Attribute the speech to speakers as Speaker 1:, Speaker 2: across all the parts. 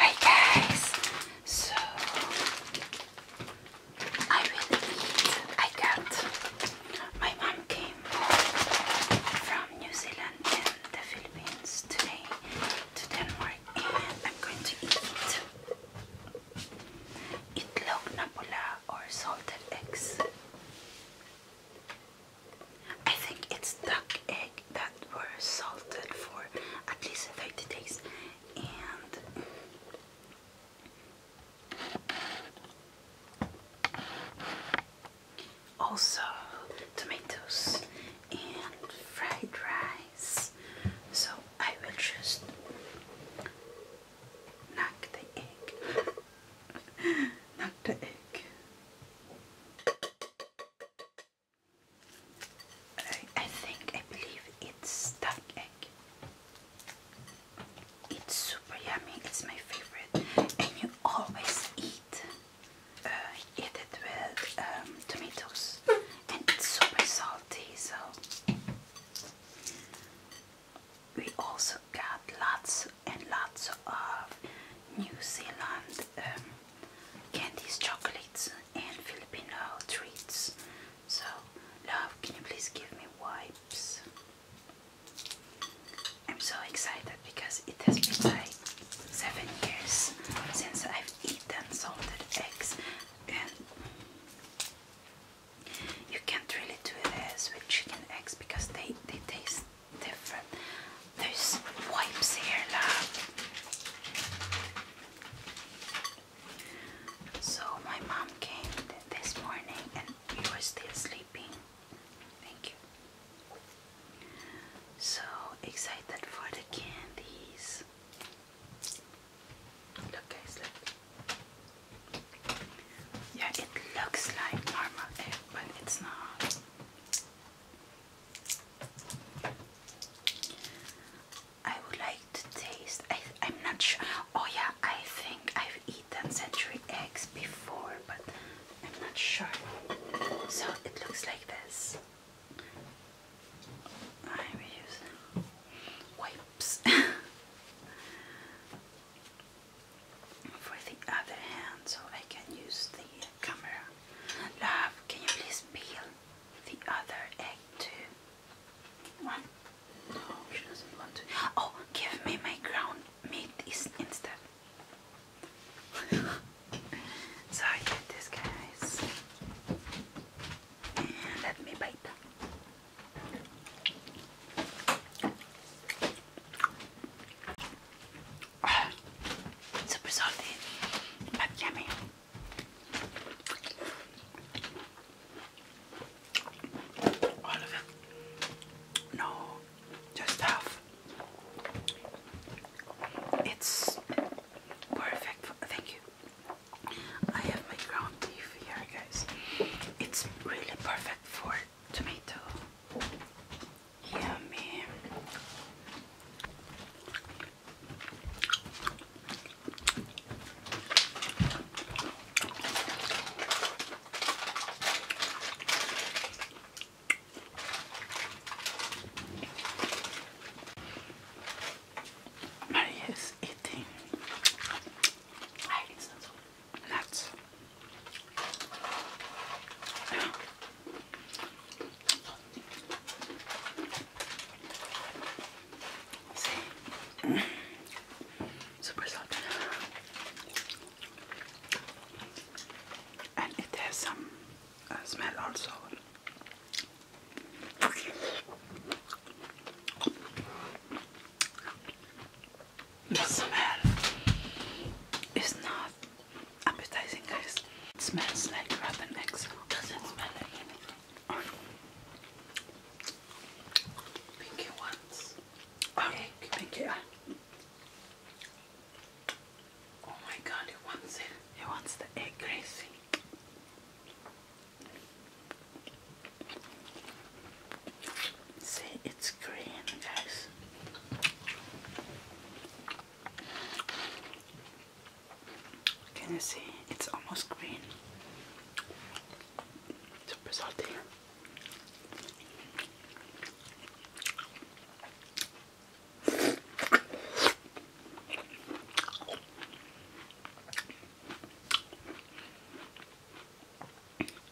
Speaker 1: Hi guys, so I will eat. I got my mom came from New Zealand and the Philippines today to Denmark, I'm going to eat itlog na pula or salted eggs. I think it's duck egg that were salted for at least 30 days and also tomatoes and fried rice so I will just knock the egg knock the egg I, think, I believe it's stuffed egg. It's super yummy, it's my favorite. And you always eat, uh, it with um, tomatoes. And it's super salty, so... We also got lots and lots of New Zealand um, candies, chocolates, and Filipino treats. So, love, can you please give me wipes? I'm so excited because it has been like seven years since I've eaten salted eggs, and you can't really do this with chicken eggs because they they taste different those wipes here, love. So my mom came this morning and you were still sleeping. Thank you. So excited for the candies. Look guys, look. Yeah, it looks like normal but it's not. I would like to taste. I, am not sure. Oh yeah, I think I've eaten century eggs before, but I'm not sure. So it looks like this. I'm using wipes. For the other hand, so I can use the camera. Love, can you please peel the other egg too? One? No, she doesn't want to. Oh, give me my ground meat instead. so I did this, guys. let me bite. Oh, super All of it. No, just half. It's perfect. For, thank you. I have my ground beef here, guys. It's really perfect for tomato Yummy. Maria is eating nuts. Super soft. And it has some uh, smell also. The smell is not appetizing, guys. It smells like rabbit eggs. Doesn't smell anything. Pinky wants oh, Pinky, Oh my god, he wants it. He wants the egg. Crazy. See, it's green, guys. Can you see? It's almost green. Super salty.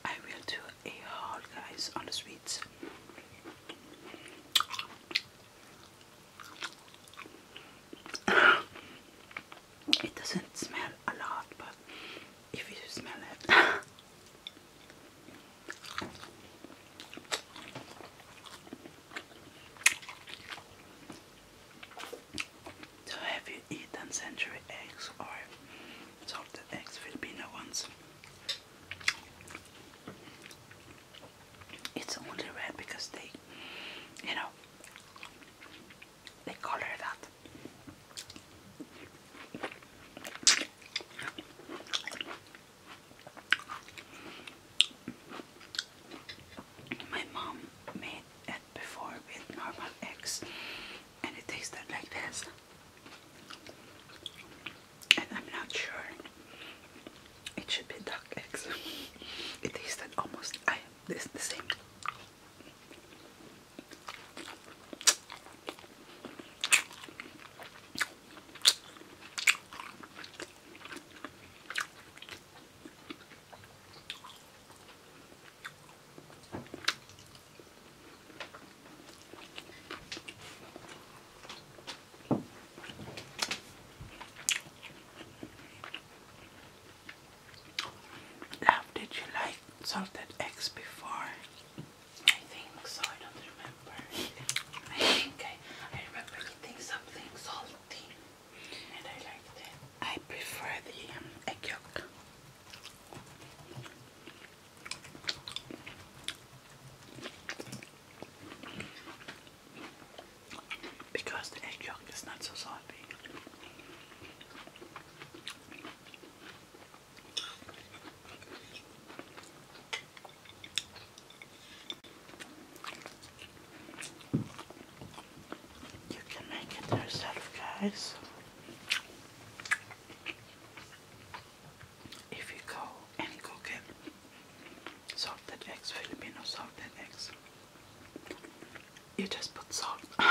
Speaker 1: I will do a haul, guys, on the sweets. It doesn't smell a lot, but if you smell it, so have you eaten century eggs or salted eggs, Filipino ones? It's only red because they, you know, they color that. My mom made it before with normal eggs and it tasted like this and I'm not sure. It should be duck eggs. it tasted almost I this the same. Love, did you like salted eggs before? I think so. I don't remember. I think I, I remember eating something salty, and I liked it. I prefer the um, egg yolk because the egg yolk is not so salty. You can make it yourself, guys if you go and cook it. Salted eggs, Filipino salted eggs. You just put salt and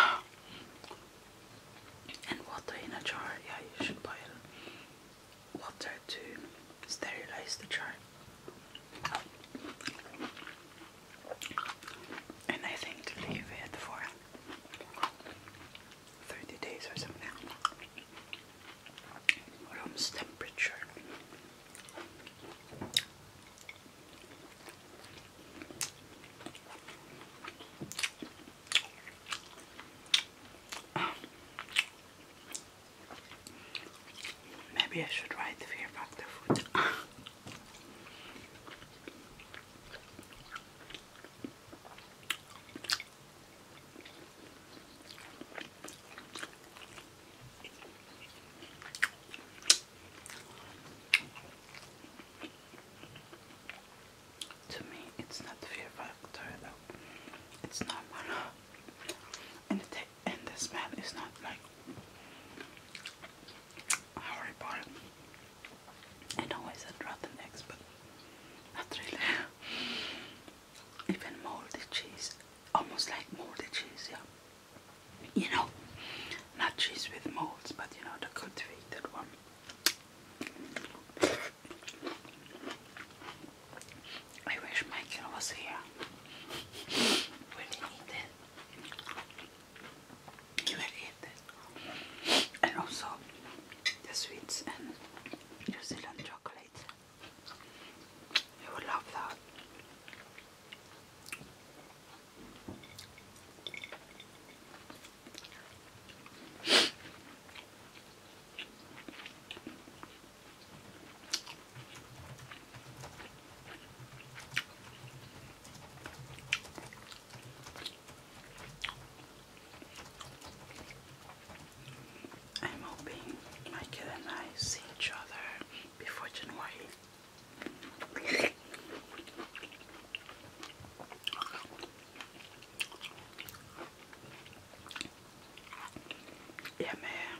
Speaker 1: water in a jar. Yeah, you should boil water to sterilize the jar. And I think leave it for 30 days or something room's temperature. Maybe I should write fear factor food. To me, it's not the fear factor though. It's normal, and the and the smell is not like horrible. I know I said rotten eggs, but not really even moldy cheese, almost like moldy cheese, yeah. You know, not cheese with molds, but you know, the cultivated one. I wish Michael was here when he eat it. He will And also the sweets and New Zealand chocolate. I would love that. I'm hoping Michael and I see each other before January. Yeah, man.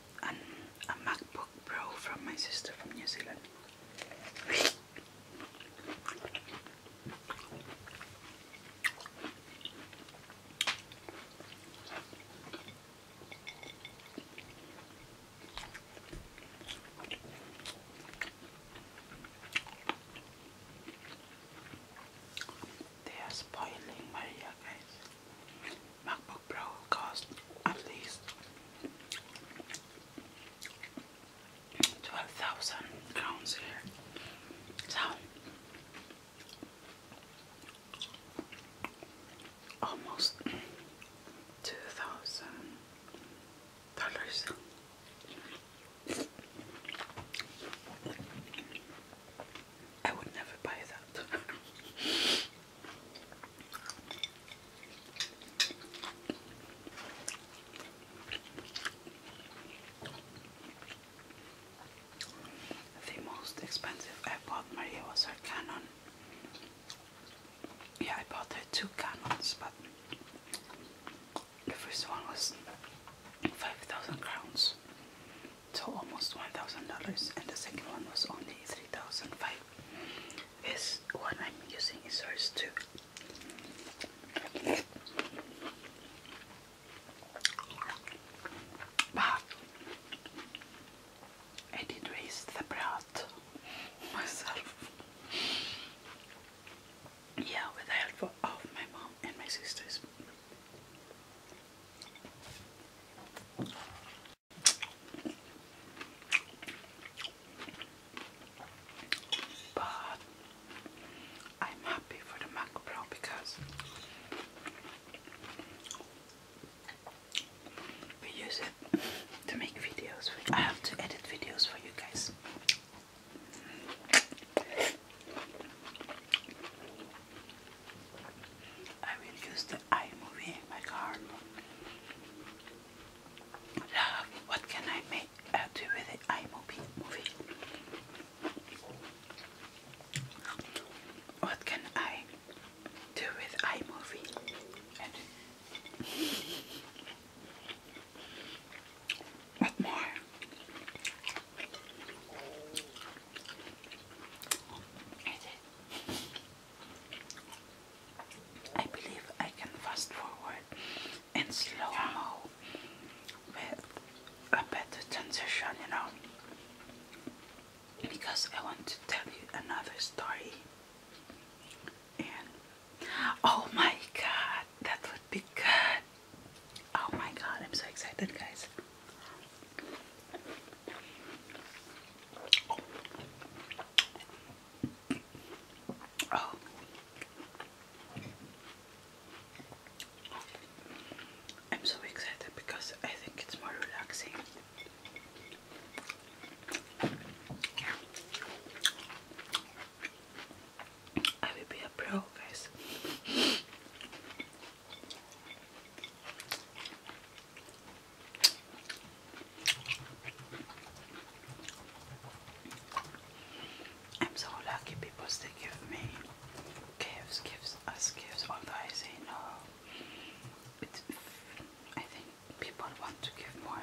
Speaker 1: a MacBook Pro from my sister from New Zealand. They are spoiling Maria, guys. MacBook Pro cost at least 12,000 crowns here. So, almost two thousand dollars. I would never buy that. The most expensive I bought Maria was her Canon. Yeah, I bought her two Canons, but the first one was 5,000 crowns, so almost $1,000, and the second one was only 3,500. This one I'm using is ours too. But I did raise the brat myself. Yeah, with the help of my mom and my sisters. But I'm happy for the Mac Pro because we use it to make videos. I have to edit videos for you guys. I will use the iMovie in my car. Uh, what can I make uh, with the iMovie What can I do with iMovie? what more? I believe I can fast forward and slow mo with a better transition, you know, because I want to tell you another story. And oh my god, that would be good! Oh my god, I'm so excited, guys. I'm so excited because I think it's more relaxing. I will be a pro, guys. I'm so lucky people still give me gifts, gifts, us gifts, although I say no. I think people want to give more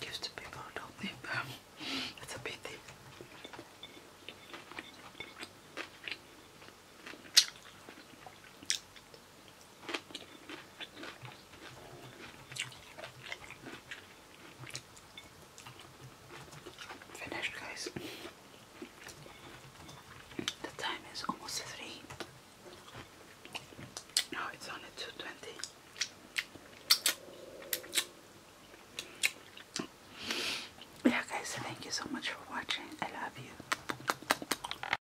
Speaker 1: gifts to people don't need them. a pity. Finished, guys. The time is almost three. Now it's only two twenty. Yeah, guys. Thank you so much for watching. I love you.